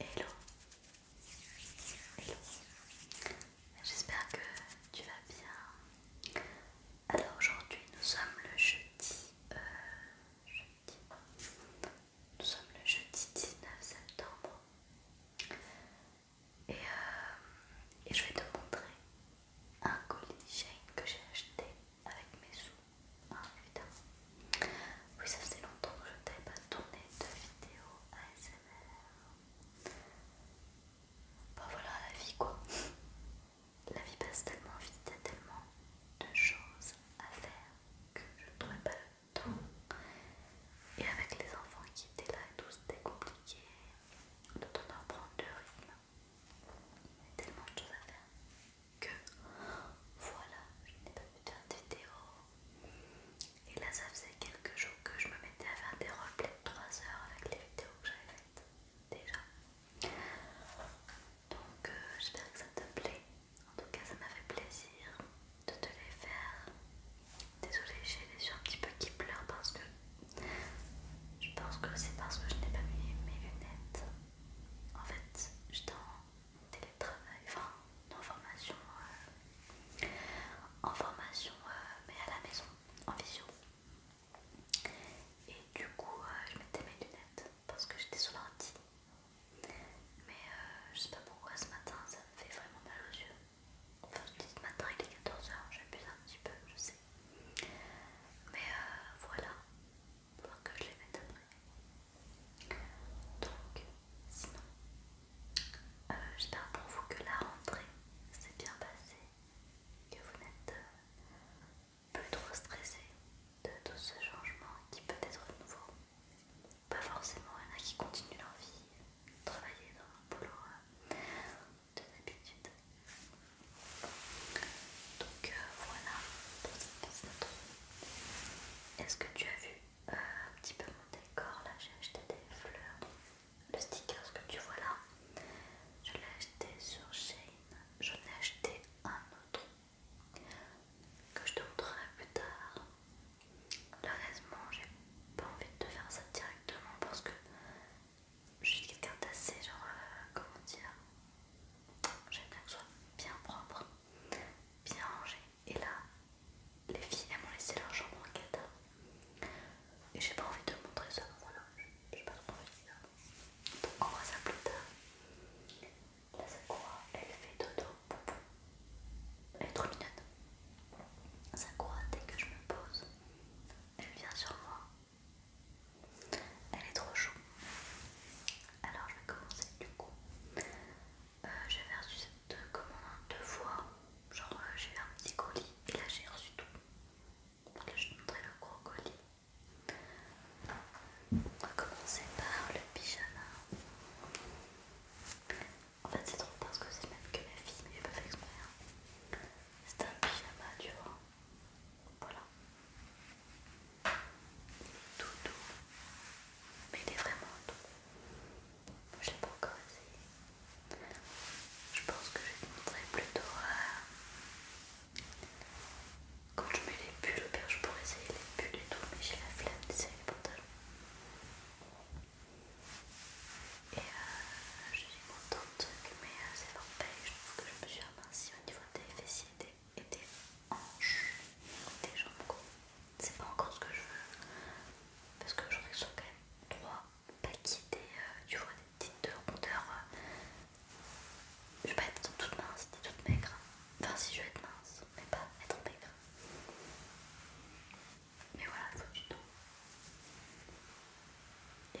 Hello J'espère que tu vas bien. Alors aujourd'hui nous sommes le jeudi, euh, jeudi. Nous sommes le jeudi 19 septembre. Et, euh, et je vais te montrer un colis chain que j'ai acheté avec mes sous. Ah putain. Oui, ça faisait longtemps que je t'avais pas tourné de vidéo ASMR. Bah voilà la vie quoi. La vie passe tellement vite, il y a tellement de choses à faire que je ne trouvais pas le temps. Et avec les enfants qui étaient là et tout, c'était compliqué de tout prendre le rythme. Il y a tellement de choses à faire que voilà, je n'ai pas pu faire de vidéo. Et là, ça faisait quelques jours que je me mettais à faire des replays de 3 heures avec les vidéos que j'avais faites déjà. Donc, euh, j'espère que ça te plaît. En tout cas, ça m'a fait plaisir de te les faire. Désolée, j'ai les yeux un petit peu qui pleurent parce que je pense que c'est parce que je n'ai pas mis mes lunettes. En fait, je t'en télétravail, enfin en formation, en euh, formation euh, mais à la maison, en vision, Et du coup, euh, je mettais mes lunettes parce que j'étais sur Mais je sais pas pourquoi ce matin ça me fait vraiment mal aux yeux. Enfin, ce matin il est 14h, j'abuse un petit peu, je sais. Mais voilà, il que je les mette après. Donc, sinon, euh, j'espère pour vous que la rentrée s'est bien passée, que vous n'êtes euh, plus trop stressé de tout ce changement qui peut être nouveau. Pas forcément, il qui continuent leur vie, travailler dans un boulot euh, de l'habitude. Donc voilà pour cette petite Est-ce que tu as vu un petit peu mon décor. Là, j'ai acheté des fleurs. Le sticker ce que tu vois là, je l'ai acheté sur Shein. J'en ai acheté un autre que je te montrerai plus tard. honnêtement, j'ai pas envie de te faire ça directement parce que je suis quelqu'un d'assez genre, euh, comment dire, j'aime bien que ce soit bien propre, bien rangé. Et là, les filles, elles m'ont laissé leur jambe en quête. Et j'ai pas envie de montrer ça, voilà, j'ai pas trop envie de ça. Donc on voit ça plus tard. Là c'est quoi Elle fait dodo, poupou. Elle est trop mignonne. Ça Dès que je me pose, elle vient sur moi. Elle est trop chou. Alors je vais commencer du coup euh, j'avais reçu cette commande deux fois. Genre, euh, j'ai eu un petit colis et là j'ai reçu tout. Donc là, je vais montrer le gros colis. On va commencer par le pyjama. En fait, c'est trop parce que c'est même que ma fille, mais j'ai pas fait exprès. Hein. C'est un pyjama, tu vois. Voilà. Tout doux. Mais il est vraiment doux. Moi je l'ai pas encore essayé. Je pense que je vais te plutôt quand je mets les pulls au père, je pourrais essayer les pulls et tout, mais j'ai la flemme d'essayer les pantalons. Et euh, je suis contente, mais mes euh, c'est paix je trouve que je me suis amincie au niveau des fessiers et des hanches des jambes c'est pas encore ce que je veux parce que j'en ai sur quand même trois paquets des, euh, tu vois, des petites de rondeur euh, je vais pas être toute mince ni toute maigre hein. enfin si je veux être mince mais pas être maigre mais voilà il faut du dos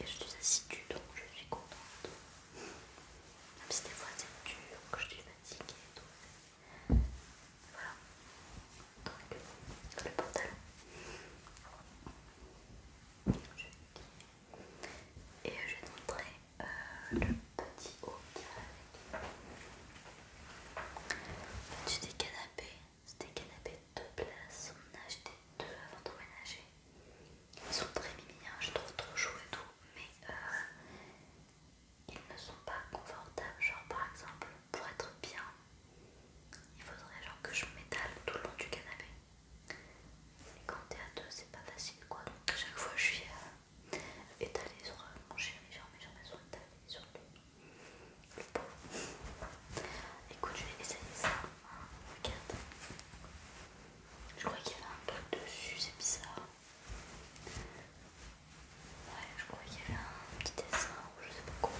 et je suis assise du donc je suis contente même si des fois c'est dur que je suis fatiguée et voilà. Donc, le pantalon. Et je vais te montrer euh, le petit haut qui va avec. Tu des canapés, c'est des canapés de place, on On a acheté deux avant de ménager. Ils sont très mignons, je trouve trop chou et tout, mais euh, ils ne sont pas confortables. Genre par exemple, pour être bien, il faudrait genre que je m'étale tout le long du canapé. Et quand t'es à deux, c'est pas facile quoi. Donc à chaque fois, je suis euh, étalée sur euh, mon mes mes jambes sont sur le, Écoute, je vais essayer ça. regarde. Je crois qu'il y a un peu dessus, c'est bizarre. Ouais, je croyais qu'il y avait un petit dessin ou je sais pas quoi.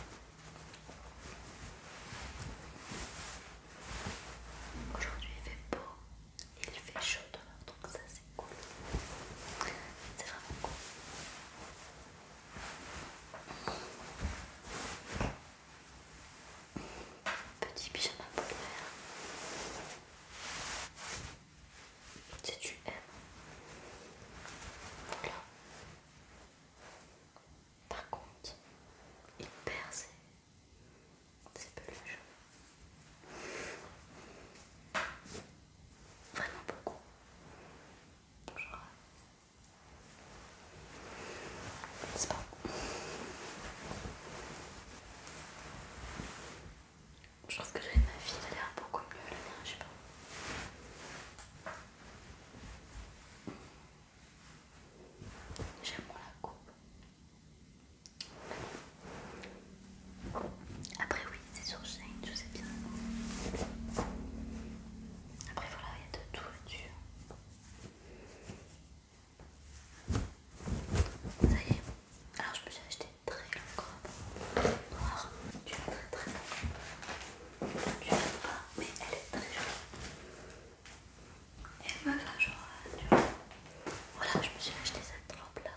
Aujourd'hui il fait beau, il fait chaud demain, donc ça c'est cool. C'est vraiment cool. Petit pyjama polaire si tu aimes. Voilà. Par contre, il perd ses, peluches. Vraiment beaucoup. Genre. C'est pas. Je pense que j'avais ma fille elle a l'air beaucoup mieux là je sais pas. J'aime moins la coupe. Après oui, c'est sur Shane, je sais bien. Après voilà, il y a de tout dessus Ça y est, alors je me suis acheté une très longue robe noire. Tu vas très très longue. Tu l'aimes pas, mais elle est très jolie. Et elle me va genre, tu vois. Voilà, je me suis acheté cette robe là.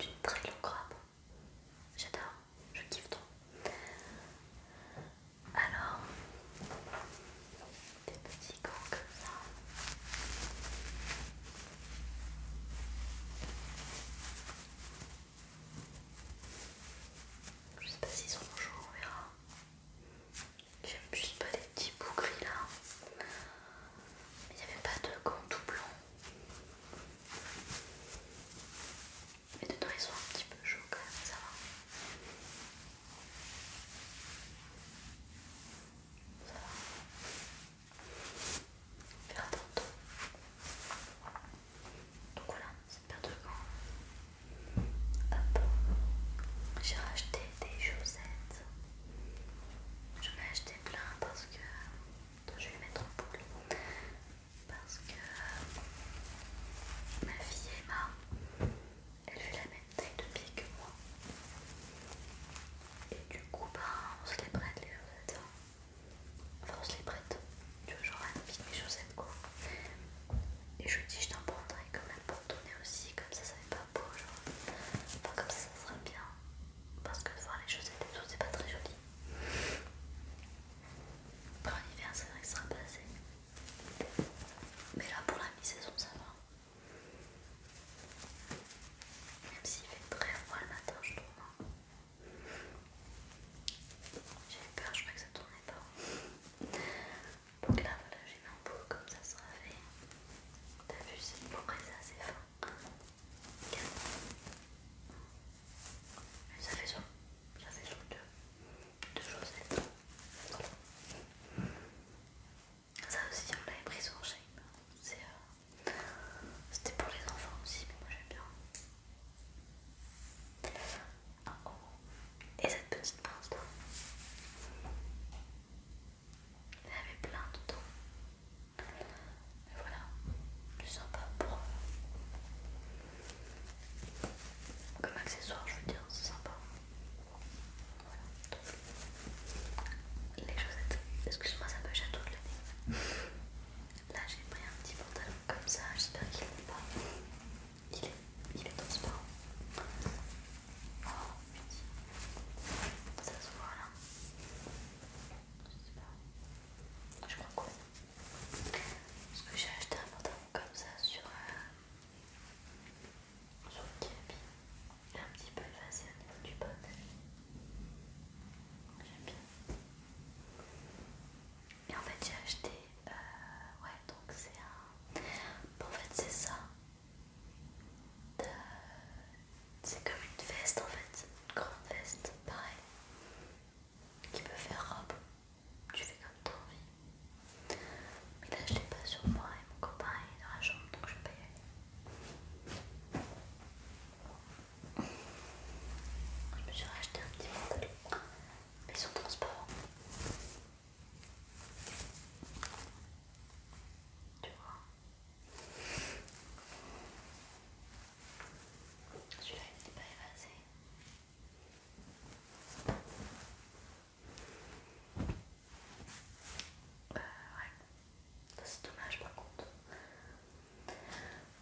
D'une très longue robe. J'adore, je kiffe trop. Alors, des petits gants comme ça. Je sais pas s'ils sont chauds, on verra. J'aime juste pas les petits bouts gris là. mais Il n'y avait pas de gants tout blanc. Mais dedans ils sont un petit peu chauds quand même, ça Ça va. Donc voilà, c'est paire de gants. Hop, j'ai racheté des chaussettes. J'en ai acheté plein parce que. je vais les mettre en poule, Parce que ma fille Emma, elle fait la même taille de pied que moi. Et du coup, bah, on se les prête les chaussettes. Hein. Enfin, on se les prête. Tu vois, genre, elle de mes chaussettes quoi. Et je dis, je t'en prendrai quand même pour donner aussi, comme ça, ça fait pas beau. Genre, enfin, comme ça, ça sera bien. Parce que de voir les chaussettes et tout, c'est pas très joli. Après, en c'est vrai que ça sera assez, Mais là, pour la mi-saison, ça va. Même s'il fait très froid le matin, je trouve. Hein. J'ai eu peur, je crois que ça tournait pas. Donc là, voilà, j'ai mis un peau comme ça sera fait. T'as vu, c'est une ça, assez fin. Ça fait ça. ça fait chaud deux, chaussettes. Ça aussi, on l'avait pris sur shame C'est euh, c'était pour les enfants aussi, mais moi j'aime bien. Ah, oh. Et cette petite pince là. Il avait plein dedans. Mais voilà, plus sympa pour. Euh, comme accessoire, je veux dire, c'est sympa. Voilà. les chaussettes, excuse-moi, ça me tout le l'année. Là j'ai pris un petit pantalon comme ça, j'espère qu'il n'est pas. Il est, il est transparent. Oh putain. Ça se voit là. Je sais pas. Je crois que Parce que j'ai acheté un pantalon comme ça sur, euh, sur le est Un petit peu effacé au niveau du bas. J'aime bien. Et en fait j'ai acheté, euh, ouais donc c'est un, en fait c'est ça, c'est comme une veste en fait, une grande veste, pareil, qui peut faire robe, tu fais comme t'as envie. Mais là je l'ai pas sur moi et mon copain il est dans la chambre donc je vais je me suis racheté un petit pantalon, mais son sont transparents. Tu vois Celui-là il n'est pas évasé. Euh, c'est dommage par contre.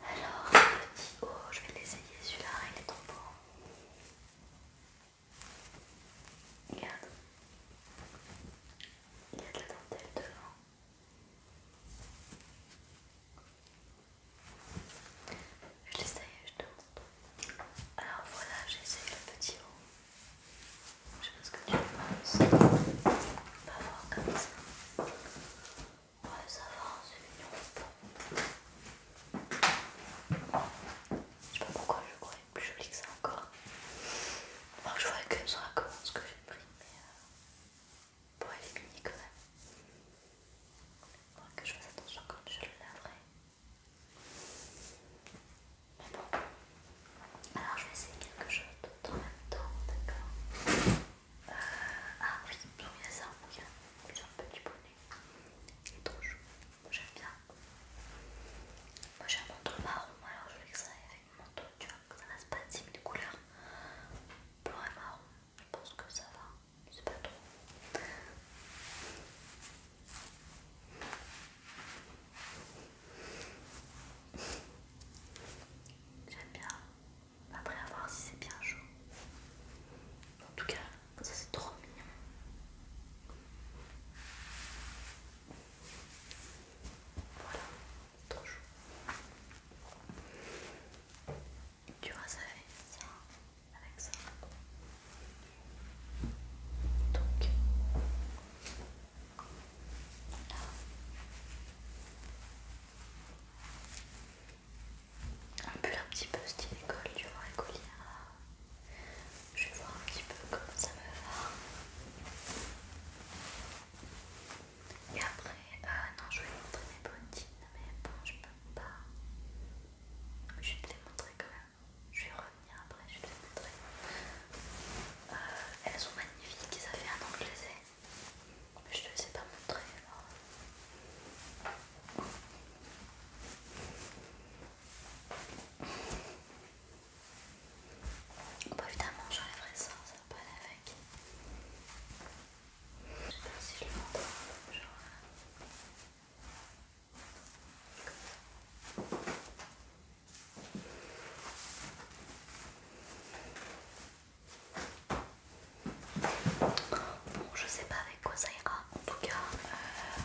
Alors, petit haut, je vais l'essayer celui-là, il est trop beau. Regarde. Il y a de la dentelle devant. Je l'essaye, je te montre. Alors voilà, j'ai essayé le petit haut. Je sais pas ce que tu penses. Pas fort comme ça. Ouais, ça va, c'est mignon. Je sais pas pourquoi je croyais plus joli que ça encore. que je vois que ça la ce que j'ai pris, mais euh, est éliminer quand même. Faudrait que je fasse attention quand je le laverai. Mais bon, alors je vais essayer quelque chose d'autre en même temps, d'accord ah oui, il y a ça en bouquin, a un petit bonnet. Il est trop j'aime bien. Moi j'ai un manteau marron, alors je voulais que ça avec mon manteau, tu vois, que ça reste pas de cible de couleur. Blanc et marron, je pense que ça va, c'est pas trop. J'aime bien. Après, à voir si c'est bien chaud. En tout cas, ça c'est trop mignon. Voilà, trop chaud. Tu vas ça fait ça avec ça. Donc, un pue un petit peu style école, tu vois, Je vais voir un petit peu comment ça me va. Et après, euh, non, je vais montrer mes bottines, mais bon, je peux pas. Je vais te les montrer quand même. Je vais revenir après, je vais te les montrer. Euh, elles sont magnifiques, ça fait un an que je les ai. Je te laisse pas montrer alors. Bon, évidemment, j'enlèverai ça, ça va pas aller avec. Je sais pas si je le montre, genre. Bon, je sais pas avec quoi ça ira, en tout cas. Euh,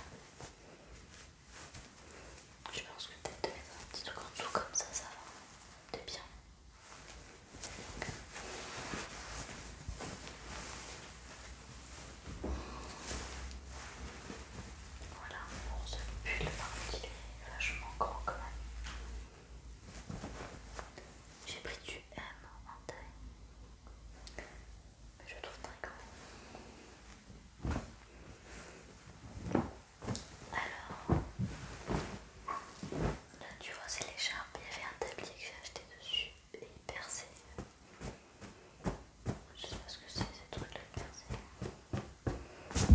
je pense que peut-être de mettre un petit truc en dessous comme ça, ça va. C'est bien. Voilà, bon, ce pull, par il est vachement grand quand même. J'ai pris du M en taille, mais je le trouve très grand. Alors, là tu vois, c'est l'écharpe. Il y avait un tablier que j'ai acheté dessus et il perçait. Je sais pas ce que c'est, ces trucs-là percés.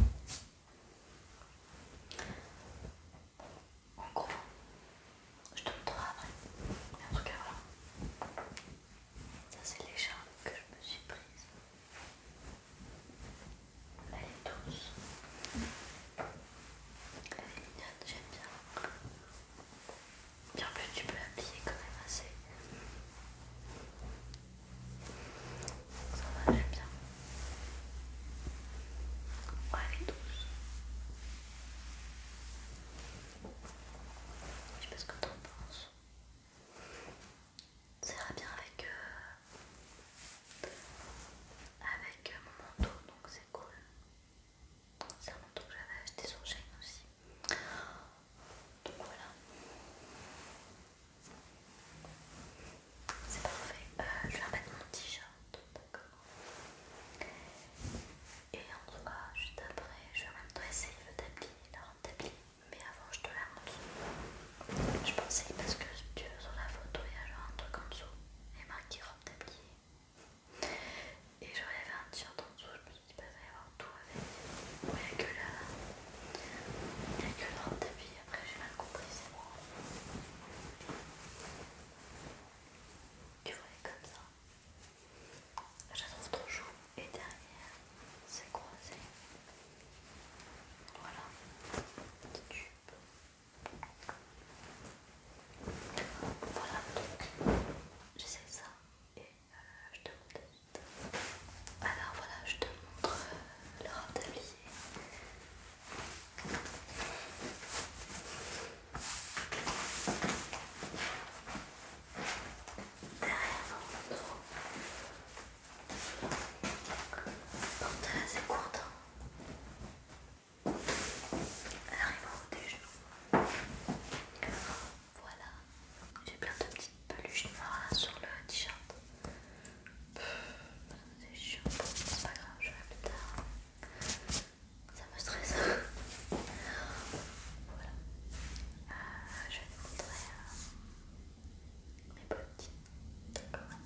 En gros, je te montrerai après. en tout cas, voilà. Ça, c'est l'écharpe que je me suis prise. Elle est douce. Elle est mignonne, j'aime bien. Bien plus, tu peux l'appliquer quand même assez. Ça va, j'aime bien. Ouais, elle est douce. Je sais pas ce que t'en penses. Ça ira bien avec, avec mon manteau, donc c'est cool. C'est un manteau que j'avais acheté sur Shein aussi. Donc voilà. C'est parfait. mauvais euh, je vais remettre mon t-shirt, d'accord. Et en tout cas juste après. Je vais en même temps essayer le tapis, la robe tapis. Mais avant, je te la dessous Je pensais parce que tu sur la photo, il y a genre un truc en dessous. Et marqué robe tapis. Et j'aurais avait un t-shirt en dessous. Je me suis dit, bah, va y avoir tout avec. Il n'y a que la. Il que le robe tapis après j'ai mal compris, c'est moi Tu vois, comme ça. Je la trouve trop Et derrière, c'est croisé. Voilà, petit tube. Voilà, donc j'essaye ça et euh, je te montre. Alors voilà, je te montre euh, le de tablier. Derrière c'est courte. Elle arrive au haut des genoux. Voilà, j'ai plein de petites peluches noires sur le t-shirt. C'est chiant, c'est pas grave, je vais plus tard. Ça me stresse. voilà. Euh, je vais vous montrer euh, mes bottines. D'accord.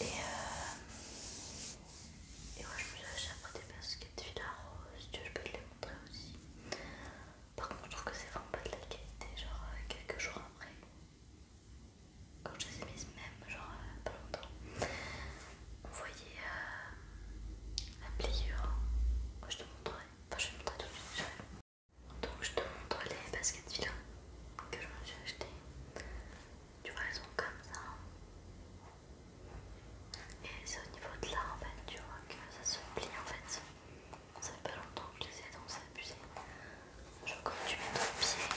Et, euh, et moi je me suis acheté après des baskets fil à rose. Tu je peux te les montrer aussi. Par contre, je trouve que c'est vraiment pas de la qualité. Genre, euh, quelques jours après, quand je les ai mises même genre euh, pas longtemps vous voyez euh, la pliure que je te montrerai, enfin je te montrer tout de suite donc je te montre les baskets fila que je me suis achetées tu vois elles sont comme ça hein. et c'est au niveau de là en fait tu vois que ça se plie en fait ça fait pas longtemps que je les ai donc c'est abusé Genre quand tu mets ton pied.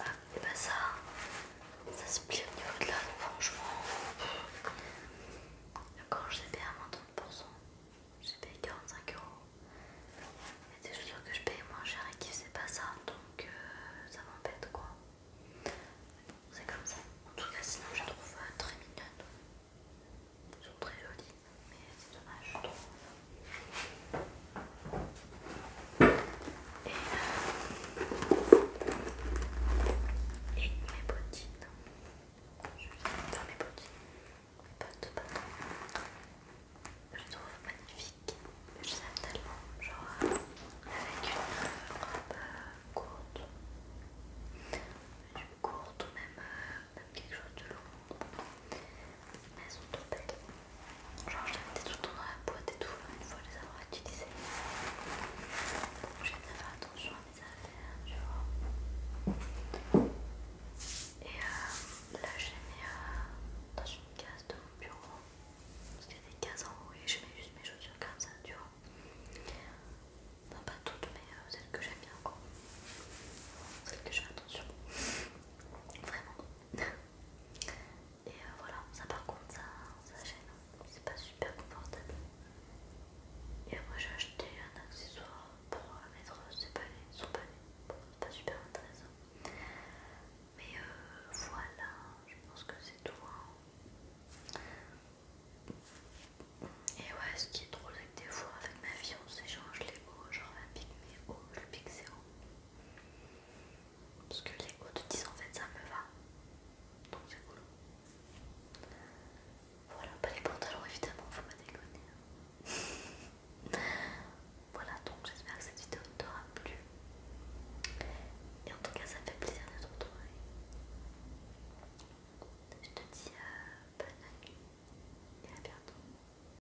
Ah, et bah ça, ça se plie au niveau de là, donc franchement. Quand j'ai payé à moins 30%, j'ai payé 45 euros. mais c'est sûr que je paye moins cher et qui faisait pas ça, donc euh, ça m'embête quoi. C'est comme ça. En tout cas, sinon je trouve euh, très mignonne. sont très jolies mais c'est dommage je trouve. Et, mes bottines, je vais faire mes bottines, mes bottes Je je trouve magnifiques, je les aime tellement, genre avec une robe courte, une courte ou même, même quelque chose de long. Mais Elles sont trop belles. Genre, je les mettais tout le temps dans la boîte et tout, une fois les avoir utilisées. Je vais bien faire attention à mes affaires, tu vois. Et euh, là, je les mets euh, dans une case de mon bureau. Parce qu'il y a des cases en haut et je mets juste mes chaussures comme ça, tu vois. non pas toutes, mais euh, celles que j'aime bien, quoi. Celles que j'ai fais attention. Vraiment. Et euh, voilà, ça par contre, ça, gêne, hein. c'est pas super confortable. Et moi j'ai acheté un accessoire pour euh, mettre ce son palais, c'est pas super intéressant. Mais euh, voilà, je pense que c'est tout. Hein. Et ouais, ce qui est drôle, avec des fois avec ma vie on s'échange les mots, genre elle pique mes hauts, je pique ses parce que les autres disent en fait ça me va. Donc c'est cool. Voilà, pas les pantalons évidemment, faut pas déconner. voilà donc j'espère que cette vidéo t'aura plu. Et en tout cas ça fait plaisir de te retrouver. Je te dis euh, bonne nuit et à bientôt.